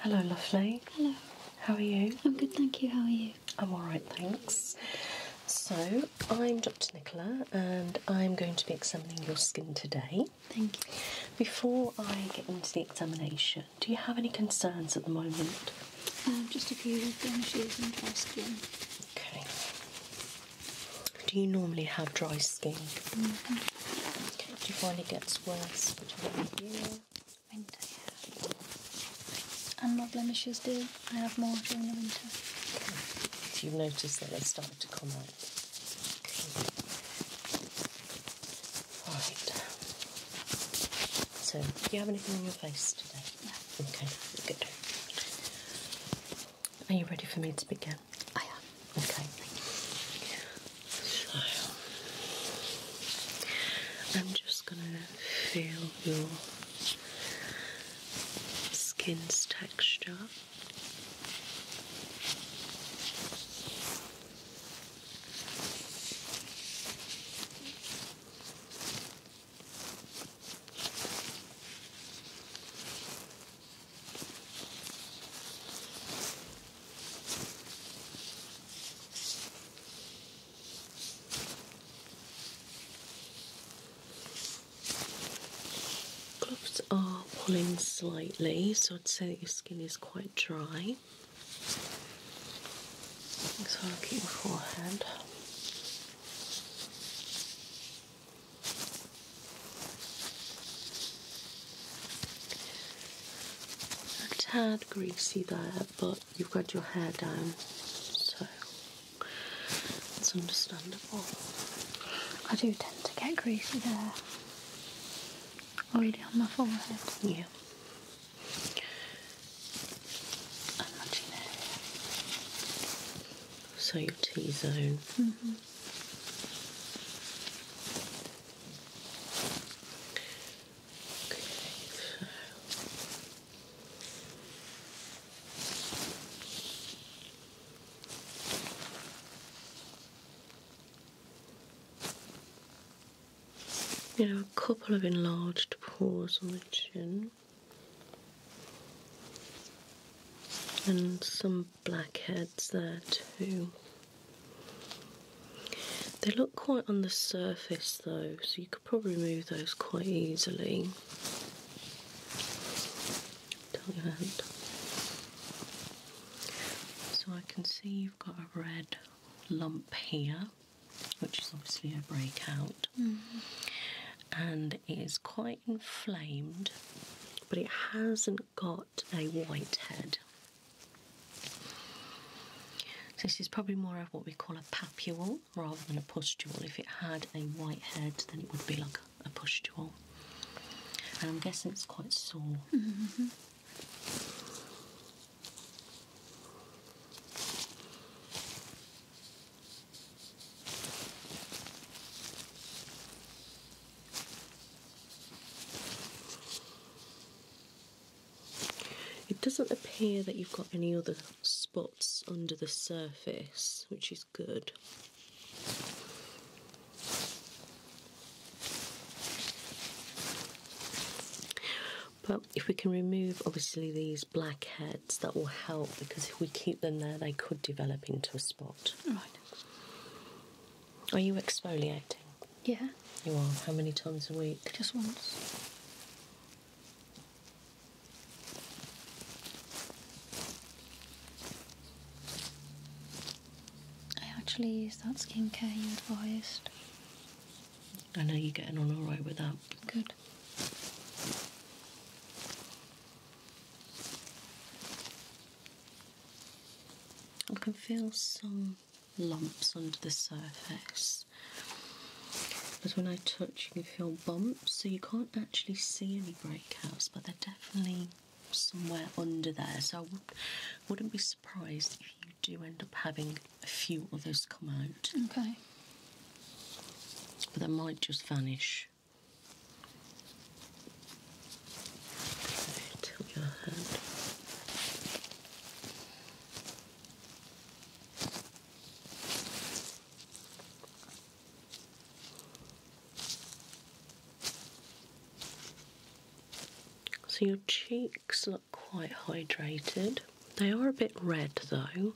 Hello, lovely. Hello. How are you? I'm good, thank you. How are you? I'm alright, thanks. So, I'm Dr. Nicola and I'm going to be examining your skin today. Thank you. Before I get into the examination, do you have any concerns at the moment? Um, just a few blemishes and dry skin. Okay. Do you normally have dry skin? Mm-hmm. Do you find it gets worse between the year? Winter, And my blemishes do. I have more during the winter. Do you notice that they start to come out. Right. So, do you have anything on your face today? No. Okay, good. Are you ready for me to begin? I am. Okay. So, I'm just going to feel your skin's texture. Gloves are pulling slightly, so I'd say that your skin is quite dry. Okay. So I'll keep my forehead. A tad greasy there, but you've got your hair down, so it's understandable. I do tend to get greasy there. Already on my forehead. Yeah and matching area. So your T zone. You know, a couple of enlarged pores on the chin. And some blackheads there too. They look quite on the surface though, so you could probably remove those quite easily. Tight hand. So I can see you've got a red lump here which is obviously a breakout, mm-hmm. and it is quite inflamed, but it hasn't got a white head. this is probably more of what we call a papule rather than a pustule. If it had a white head, then it would be like a pustule. And I'm guessing it's quite sore. Mm-hmm. It doesn't appear that you've got any other spots under the surface, which is good. But if we can remove obviously these black heads, that will help because if we keep them there, they could develop into a spot. Right. Are you exfoliating? Yeah. You are. How many times a week? Just once. I actually use that skincare you advised. I know you're getting on all right with that. Good. I can feel some lumps under the surface. But when I touch, you can feel bumps, so you can't actually see any breakouts, but they're definitely somewhere under there. So I would, not be surprised if you do end up having a few others come out. Okay. But they might just vanish. Tilt your hand. So your cheeks look quite hydrated. They are a bit red though.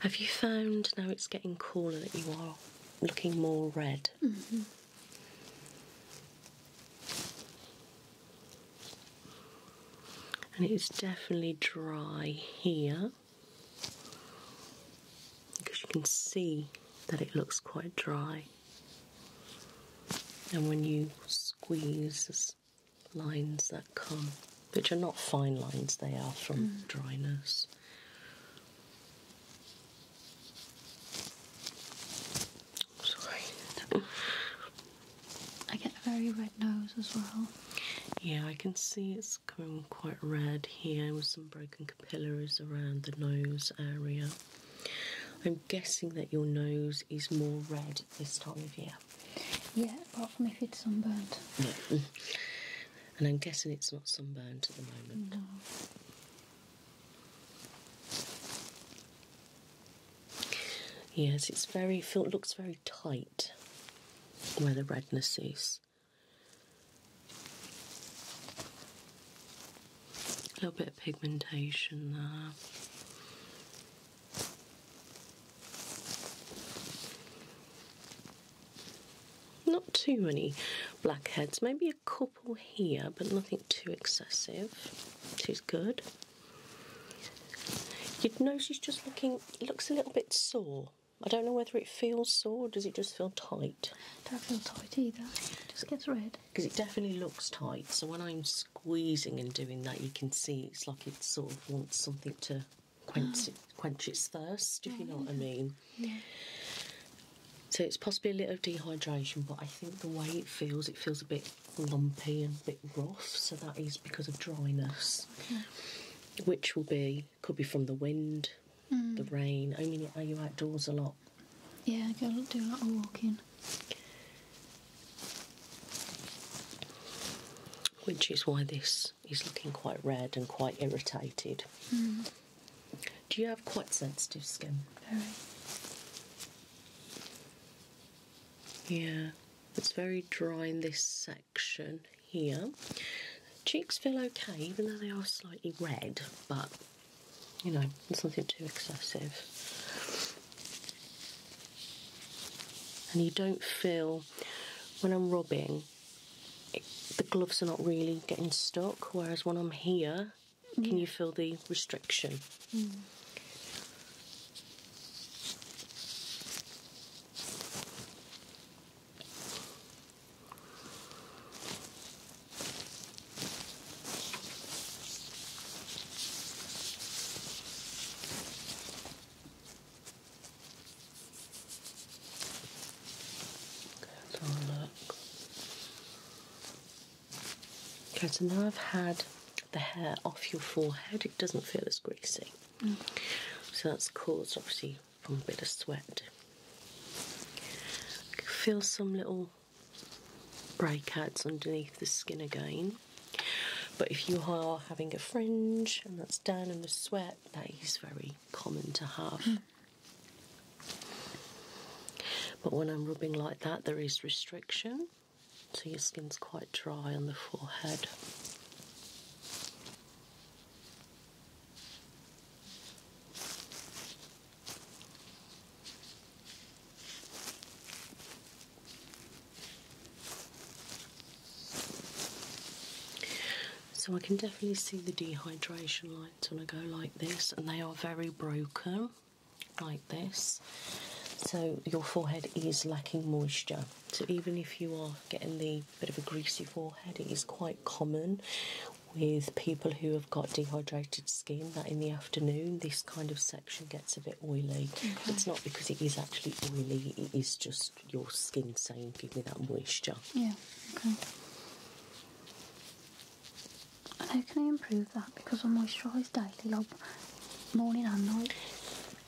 Have you found now it's getting cooler that you are looking more red? Mm-hmm. And it's definitely dry here because you can see that it looks quite dry. And when you squeeze lines that come, which are not fine lines, they are from mm. dryness. Sorry. I get a very red nose as well. Yeah, I can see it's coming quite red here with some broken capillaries around the nose area. I'm guessing that your nose is more red this time of year. Yeah, apart from if it's sunburnt. Yeah. Mm-hmm. And I'm guessing it's not sunburnt at the moment. No. Yes, it's very It looks very tight where the redness is. A little bit of pigmentation there. Not too many blackheads, maybe a couple here, but nothing too excessive, which good. You'd she's just looking, looks a little bit sore. I don't know whether it feels sore or does it just feel tight? Don't feel tight either. It just gets red. Because it definitely looks tight. So when I'm squeezing and doing that, you can see it's like it sort of wants something to quench, it, quench its thirst, if you know oh, what I mean. So it's possibly a little dehydration, but I think the way it feels, it feels a bit lumpy and a bit rough. So that is because of dryness, which will be could be from the wind, the mm. rain. I mean, are you outdoors a lot? Yeah, I gotta do a lot of walking. Which is why this is looking quite red and quite irritated. Hmm. Do you have quite sensitive skin? Very. Yeah, it's very dry in this section here. Cheeks feel okay, even though they are slightly red, but you know, it's nothing too excessive. And you don't feel, when I'm rubbing, the gloves are not really getting stuck, whereas when I'm here, can you feel the restriction? Mm. Okay, so now I've had the hair off your forehead, it doesn't feel as greasy. Mm. So that's caused obviously from a bit of sweat. feel some little breakouts underneath the skin again. But if you are having a fringe and that's down in the sweat, that is very common to have. Hmm. But when I'm rubbing like that, there is restriction, so your skin's quite dry on the forehead. So I can definitely see the dehydration lights when I go like this, and they are very broken, like this. So your forehead is lacking moisture. So even if you are getting the bit of a greasy forehead, it is quite common with people who have got dehydrated skin that in the afternoon this kind of section gets a bit oily. It's not because it is actually oily, it is just your skin saying, Give me that moisture. Yeah, okay. how can I improve that? Because i moisturise daily, like morning and night.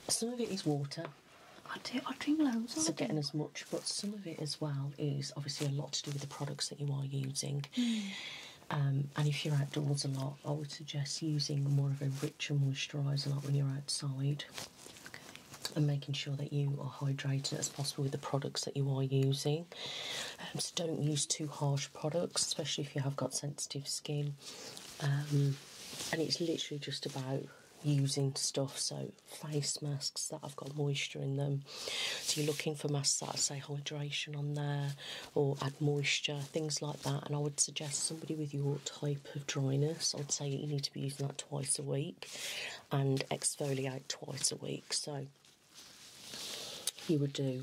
Some of it is water. I do. I drink loads. So I getting as much, but some of it as well is obviously a lot to do with the products that you are using. Hmm. Um, and if you're outdoors a lot, I would suggest using more of a richer moisturiser like when you're outside. And making sure that you are hydrated as possible with the products that you are using. Um, so don't use too harsh products, especially if you have got sensitive skin. Um, and it's literally just about using stuff so face masks that have got moisture in them so you're looking for masks that say hydration on there or add moisture, things like that. And I would suggest somebody with your type of dryness, I'd say you need to be using that twice a week and exfoliate twice a week. So you would do,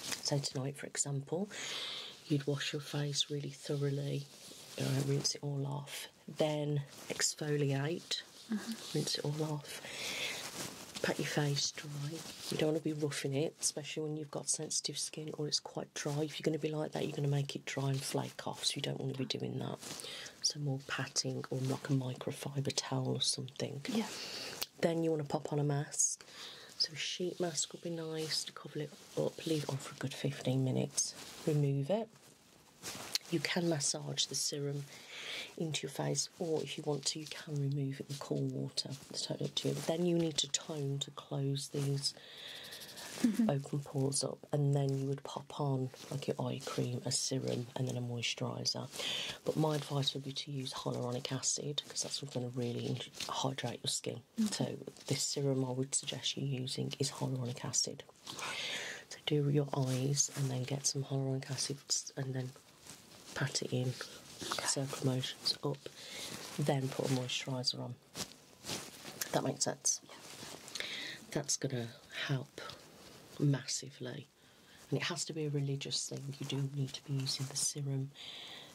say tonight, for example, you'd wash your face really thoroughly, rinse it all off, then exfoliate Mm-hmm. Rinse it all off. Pat your face dry. You don't want to be roughing it, especially when you've got sensitive skin or it's quite dry. If you're going to be like that, you're going to make it dry and flake off, so you don't want to be doing that. So more patting or like a microfiber towel or something. Yeah. Then you want to pop on a mask. So sheet mask would be nice to cover it up, leave it on for a good 15 minutes, remove it. You can massage the serum into your face, or if you want to, you can remove it with cool water. It's totally up to you. But then you need to tone to close these mm-hmm. open pores up, and then you would pop on like your eye cream, a serum, and then a moisturiser. But my advice would be to use hyaluronic acid because that's what's going to really hydrate your skin. Mm-hmm. So this serum I would suggest you using is hyaluronic acid. So do your eyes and then get some hyaluronic acid and then pat it in, circular motions up, then put a moisturiser on. That makes sense. That's going to help massively. And it has to be a religious thing. You do need to be using the serum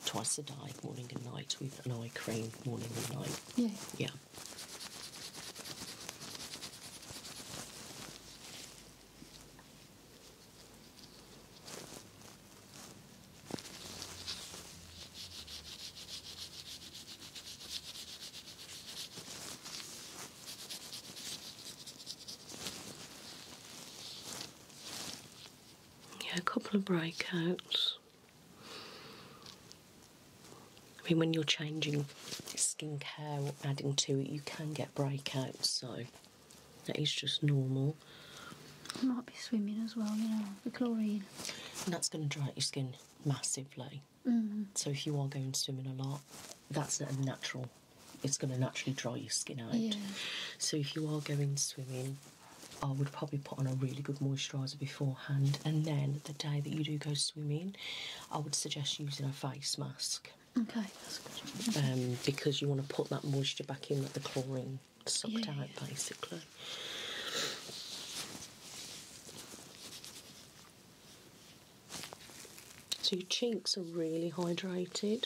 twice a day, morning and night, with an eye cream morning and night. Yeah. Yeah. Yeah, a couple of breakouts. I mean, when you're changing skincare adding to it, you can get breakouts, so that is just normal. might be swimming as well, you know, the chlorine. that's going to dry out your skin massively. Mm-hmm. So if you are going swimming a lot, that's a natural. It's going to naturally dry your skin out. Yeah. So if you are going swimming, I would probably put on a really good moisturiser beforehand, and then the day that you do go swimming, I would suggest using a face mask. Okay, that's good. Um, because you want to put that moisture back in that the chlorine sucked out, basically. So your cheeks are really hydrated.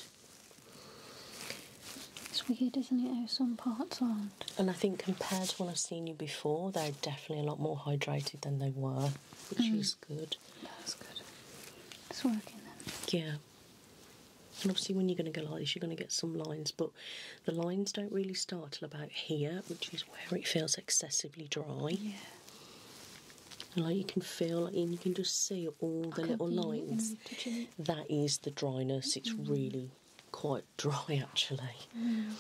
It's weird, isn't it, how some parts aren't? And I think compared to when I've seen you before, they're definitely a lot more hydrated than they were, which mm. is good. That's good. It's working then. Yeah. And obviously, when you're going to go like this, you're going to get some lines, but the lines don't really start till about here, which is where it feels excessively dry. Yeah. And like you can feel, like, and you can just see all the little lines. Them, that is the dryness. It's mm. really quite dry, actually. Mm.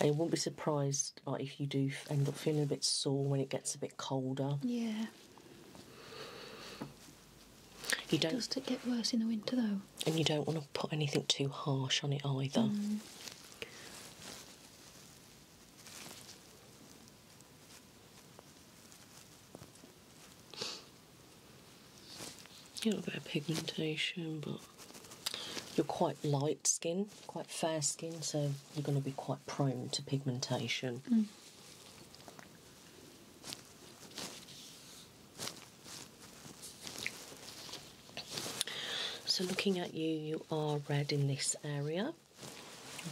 And you won't be surprised like if you do end up feeling a bit sore when it gets a bit colder. Yeah. You don't. Does it get worse in the winter though? And you don't want to put anything too harsh on it either. A bit of pigmentation, but you're quite light skin, quite fair skin, so you're going to be quite prone to pigmentation. Mm. So, looking at you, you are red in this area.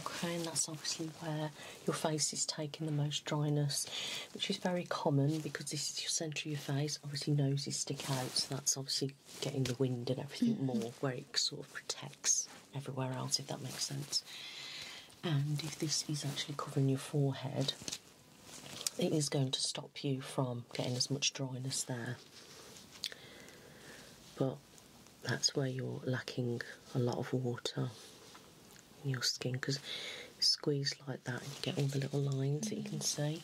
Okay, and that's obviously where your face is taking the most dryness, which is very common because this is your centre of your face. Obviously, noses stick out, so that's obviously getting the wind and everything mm-hmm. more where it sort of protects everywhere else, if that makes sense. And if this is actually covering your forehead, it is going to stop you from getting as much dryness there. But that's where you're lacking a lot of water in your skin because squeezed like that you get all the little lines that you can see,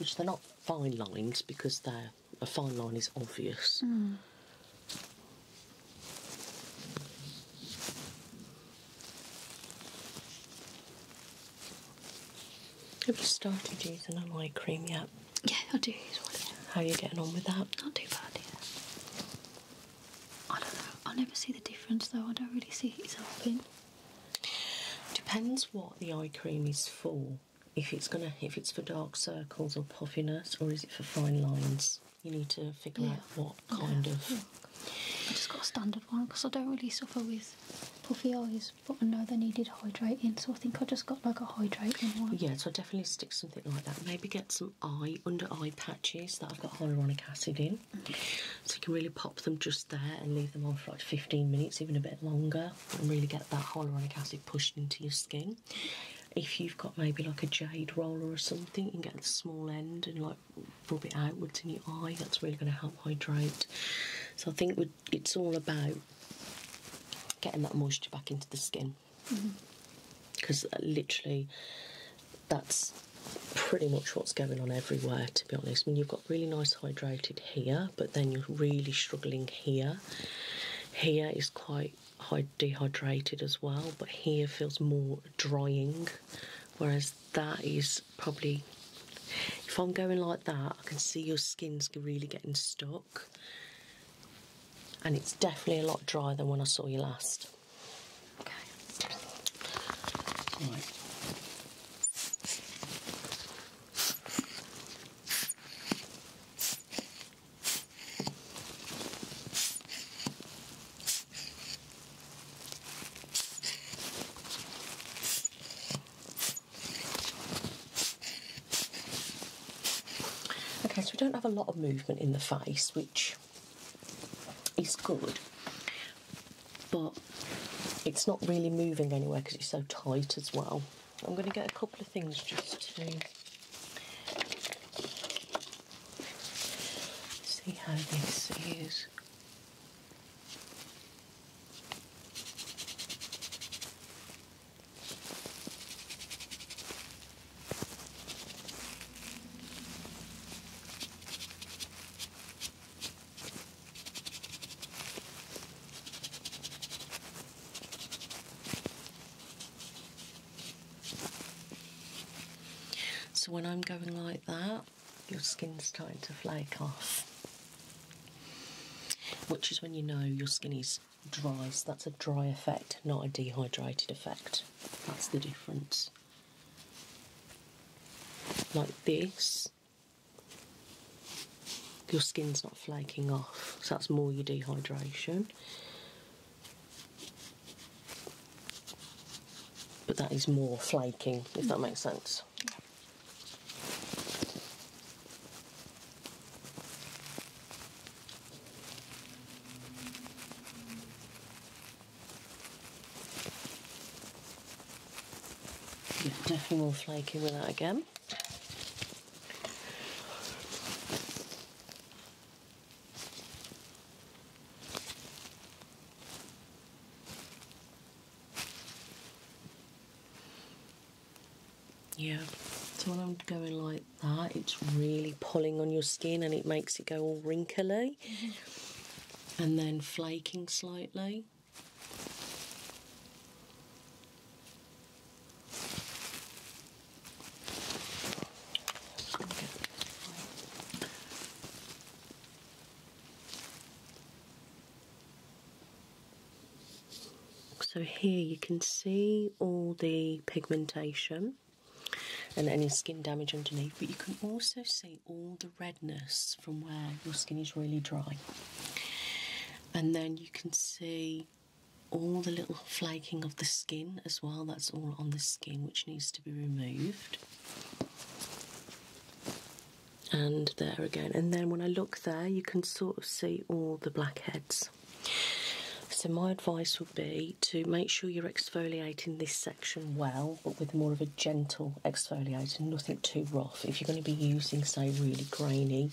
which they're not fine lines because they're a fine line is obvious. Mm. Have you started using an eye cream yet? Yeah, I do use one. How are you getting on with that? Not too bad, I don't know. I never see the difference though. I don't really see it. it's helping. Depends what the eye cream is for if it's gonna if it's for dark circles or puffiness or is it for fine lines. You need to figure out what kind of. I just got a standard one because I don't really suffer with puffy eyes, but I know they needed hydrating, so I think I just got like a hydrating one. Yeah, so I definitely stick something like that. Maybe get some eye under eye patches that I've got hyaluronic acid in, mm. so you can really pop them just there and leave them on for like 15 minutes, even a bit longer and really get that hyaluronic acid pushed into your skin. If you've got maybe like a jade roller or something, you can get the small end and like rub it outwards in your eye. That's really going to help hydrate. So I think it's all about getting that moisture back into the skin because mm-hmm. uh, literally that's pretty much what's going on everywhere to be honest. I mean, you've got really nice hydrated here, but then you're really struggling here here. Here is quite dehydrated as well, but here feels more drying, whereas that is probably. If I'm going like that, I can see your skin's really getting stuck, and it's definitely a lot drier than when I saw you last. Okay, so we don't have a lot of movement in the face, which is good, but it's not really moving anywhere because it's so tight as well. I'm going to get a couple of things just to see how this is. So when I'm going like that, your skin's starting to flake off. Which is when you know your skin is dry. So that's a dry effect, not a dehydrated effect. That's the difference. Like this, your skin's not flaking off, so that's more your dehydration. But that is more flaking, if that makes sense. Yeah. definitely more flaky with that again. Yeah, so when I'm going like that, it's really pulling on your skin and it makes it go all wrinkly mm-hmm. and then flaking slightly. So here you can see all the pigmentation and any skin damage underneath, but you can also see all the redness from where your skin is really dry. And then you can see all the little flaking of the skin as well, that's all on the skin which needs to be removed. And there again, and then when I look there, you can sort of see all the blackheads. So, my advice would be to make sure you're exfoliating this section well, but with more of a gentle exfoliator, nothing too if you're going to be using, say, really grainy,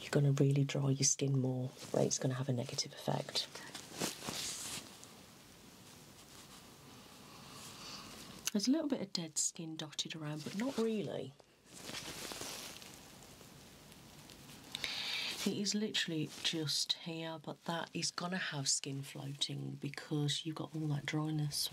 you're going to really dry your skin more, where it's going to have a negative effect. There's a little bit of dead skin dotted around, but not really. It is literally just here, but that is going to have skin floating because you've got all that dryness.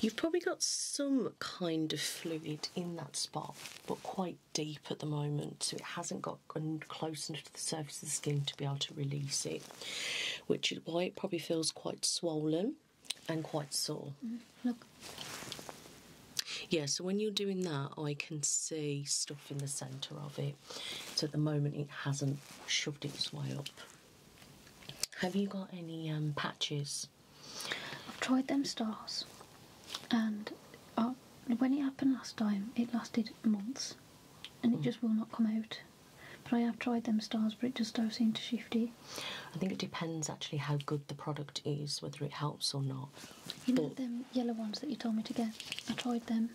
You've probably got some kind of fluid in that spot, but quite deep at the moment, so it hasn't got and close enough to the surface of the skin to be able to release it, which is why it probably feels quite swollen and quite sore. Mm, look. Yeah, so when you're doing that, I can see stuff in the centre of it. So at the moment, it hasn't shoved its way up. Have you got any um, patches? I've tried them stars, and uh, when it happened last time, it lasted months and it hmm. just will not come out. But I have tried them stars, but it just does seem to shifty. I think it depends actually how good the product is, whether it helps or not. You but know them yellow ones that you told me to get? I tried them.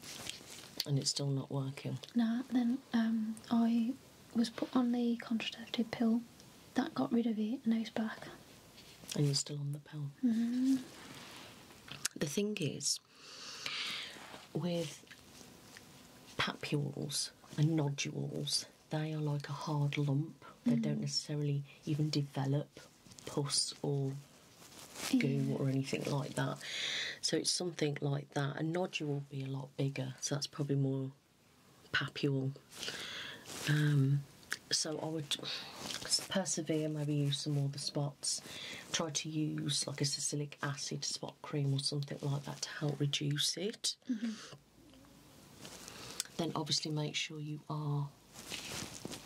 And it's still not working? No, then um, I was put on the contraceptive pill. That got rid of it, and now it's back. And you still on the pill? Mm-hmm. The thing is, with papules and nodules, they are like a hard lump. They don't mm-hmm. necessarily even develop pus or goo or anything like that. So it's something like that. A nodule will be a lot bigger, so that's probably more papule so I would persevere, maybe use some more the spots. Try to use like a salicylic acid spot cream or something like that to help reduce it. Mm-hmm. Then obviously make sure you are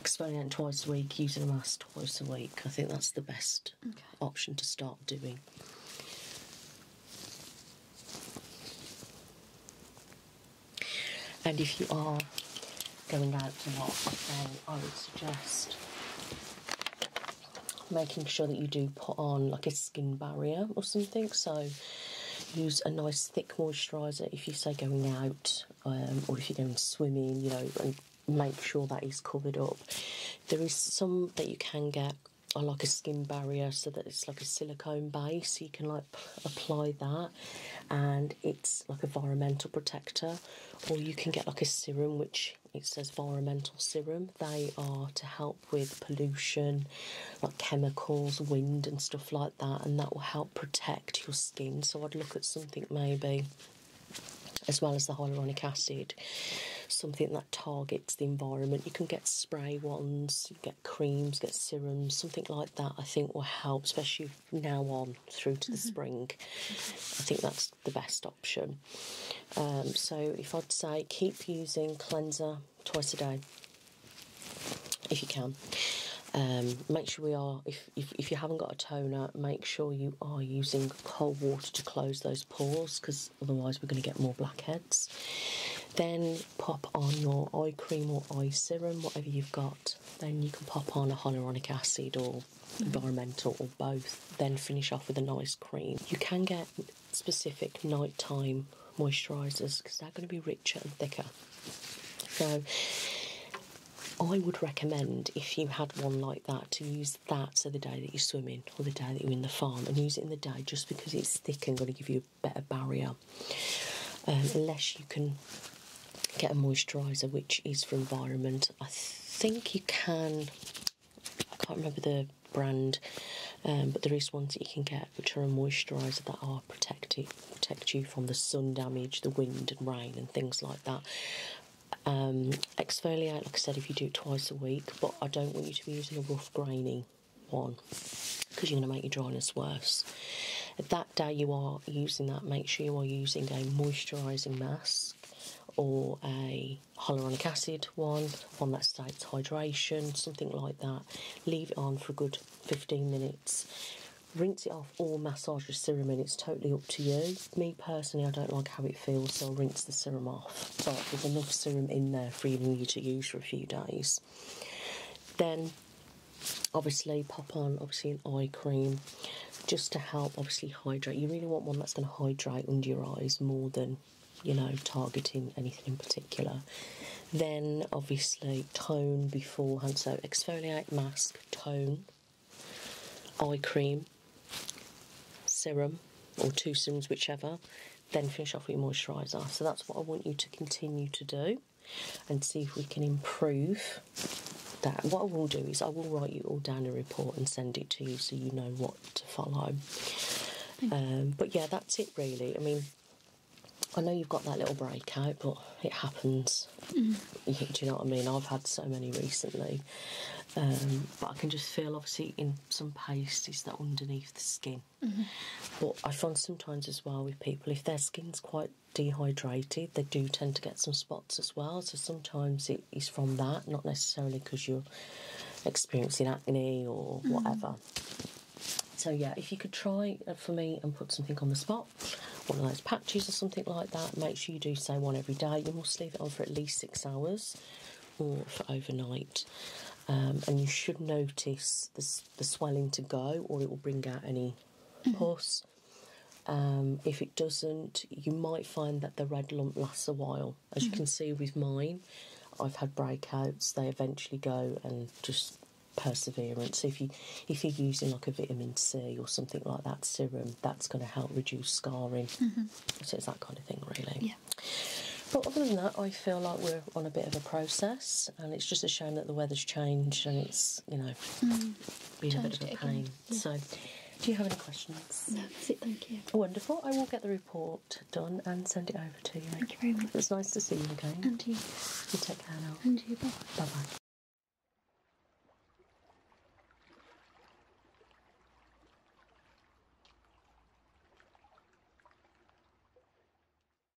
exfoliating twice a week, using a mask twice a week. I think that's the best option to start doing. And if you are going out a lot, then I would suggest making sure that you do put on like a skin barrier or something. So use a nice thick moisturiser if you say going out um, or if you're going swimming, you know, and make sure that is covered up. There is some that you can get like a skin barrier so that it's like a silicone base so you can like apply that and it's like environmental protector or you can get like a serum which it says environmental serum they are to help with pollution like chemicals wind and stuff like that and that will help protect your skin so i'd look at something maybe as well as the hyaluronic acid, something that targets the environment. You can get spray ones, you get creams, get serums, something like that. I think will help, especially now on through to the mm-hmm. spring. I think that's the best option. Um, so if I'd say keep using cleanser twice a day if you can. Um, make sure we are, if, if, you haven't got a toner, make sure you are using cold water to close those pores because otherwise we're going to get more blackheads. Then pop on your eye cream or eye serum, whatever you've got then you can pop on a hyaluronic acid or environmental or both, then finish off with a nice cream. You can get specific nighttime moisturisers because they're going to be richer and thicker. So I would recommend if you had one like that to use that so the day that you're swimming or the day that you're in the farm and use it in the day just because it's thick and going to give you a better barrier um, unless you can get a moisturiser which is for Environment. I think you can, I can't remember the brand, um, but there is ones that you can get which are a moisturiser that are protective, protect you from the sun damage, the wind and rain and things like that. Um, exfoliate, like I said, if you do it twice a week, but I don't want you to be using a rough graining one because you're going to make your dryness worse. That that day you are using that, make sure you are using a moisturising mask or a hyaluronic acid one, one that states hydration, something like that. Leave it on for a good 15 minutes. Rinse it off or massage the serum in, it's totally up to you. Me personally, I don't like how it feels, so I'll rinse the serum off. But there's enough serum in there for you to use for a few days. Then obviously pop on obviously an eye cream just to help obviously hydrate. You really want one that's going to hydrate under your eyes more than you know targeting anything in particular. Then obviously tone beforehand. So exfoliate, mask, tone, eye cream, serum or two serums whichever. Then finish off with your moisturiser. So that's what I want you to continue to do and see if we can improve that. What I will do is I will write you all down a report and send it to you so you know what to follow. Um, but yeah, that's it really. I mean, I know you've got that little breakout, but it happens. Mm. Do you know what I mean? I've had so many recently. Um, but I can just feel, obviously, in some paste, that underneath the skin. Mm-hmm. But I find sometimes as well with people, if their skin's quite dehydrated, they do tend to get some spots as well. So sometimes it is from that, not necessarily because you're experiencing acne or mm. whatever. So yeah, if you could try uh, for me and put something on the spot, one of those patches or something like that, make sure you do say one every day. You must leave it on for at least six hours or for overnight. Um, and you should notice the, the swelling to go or it will bring out any Plus, um, if it doesn't, you might find that the red lump lasts a while. As you can mm-hmm. see with mine, I've had breakouts. They eventually go and just perseverance. So if you if you're using like a vitamin C or something like that serum, that's going to help reduce scarring. mm So it's that kind of thing, really. Yeah. But other than that, I feel like we're on a bit of a process, and it's just a shame that the weather's changed and it's, you know, mm. a bit of a pain. So, do you have any questions? No, that's it, thank you. Wonderful. I will get the report done and send it over to you. Thank you very much. It's nice to see you again. And you. You take care now. And you, bye. Bye bye.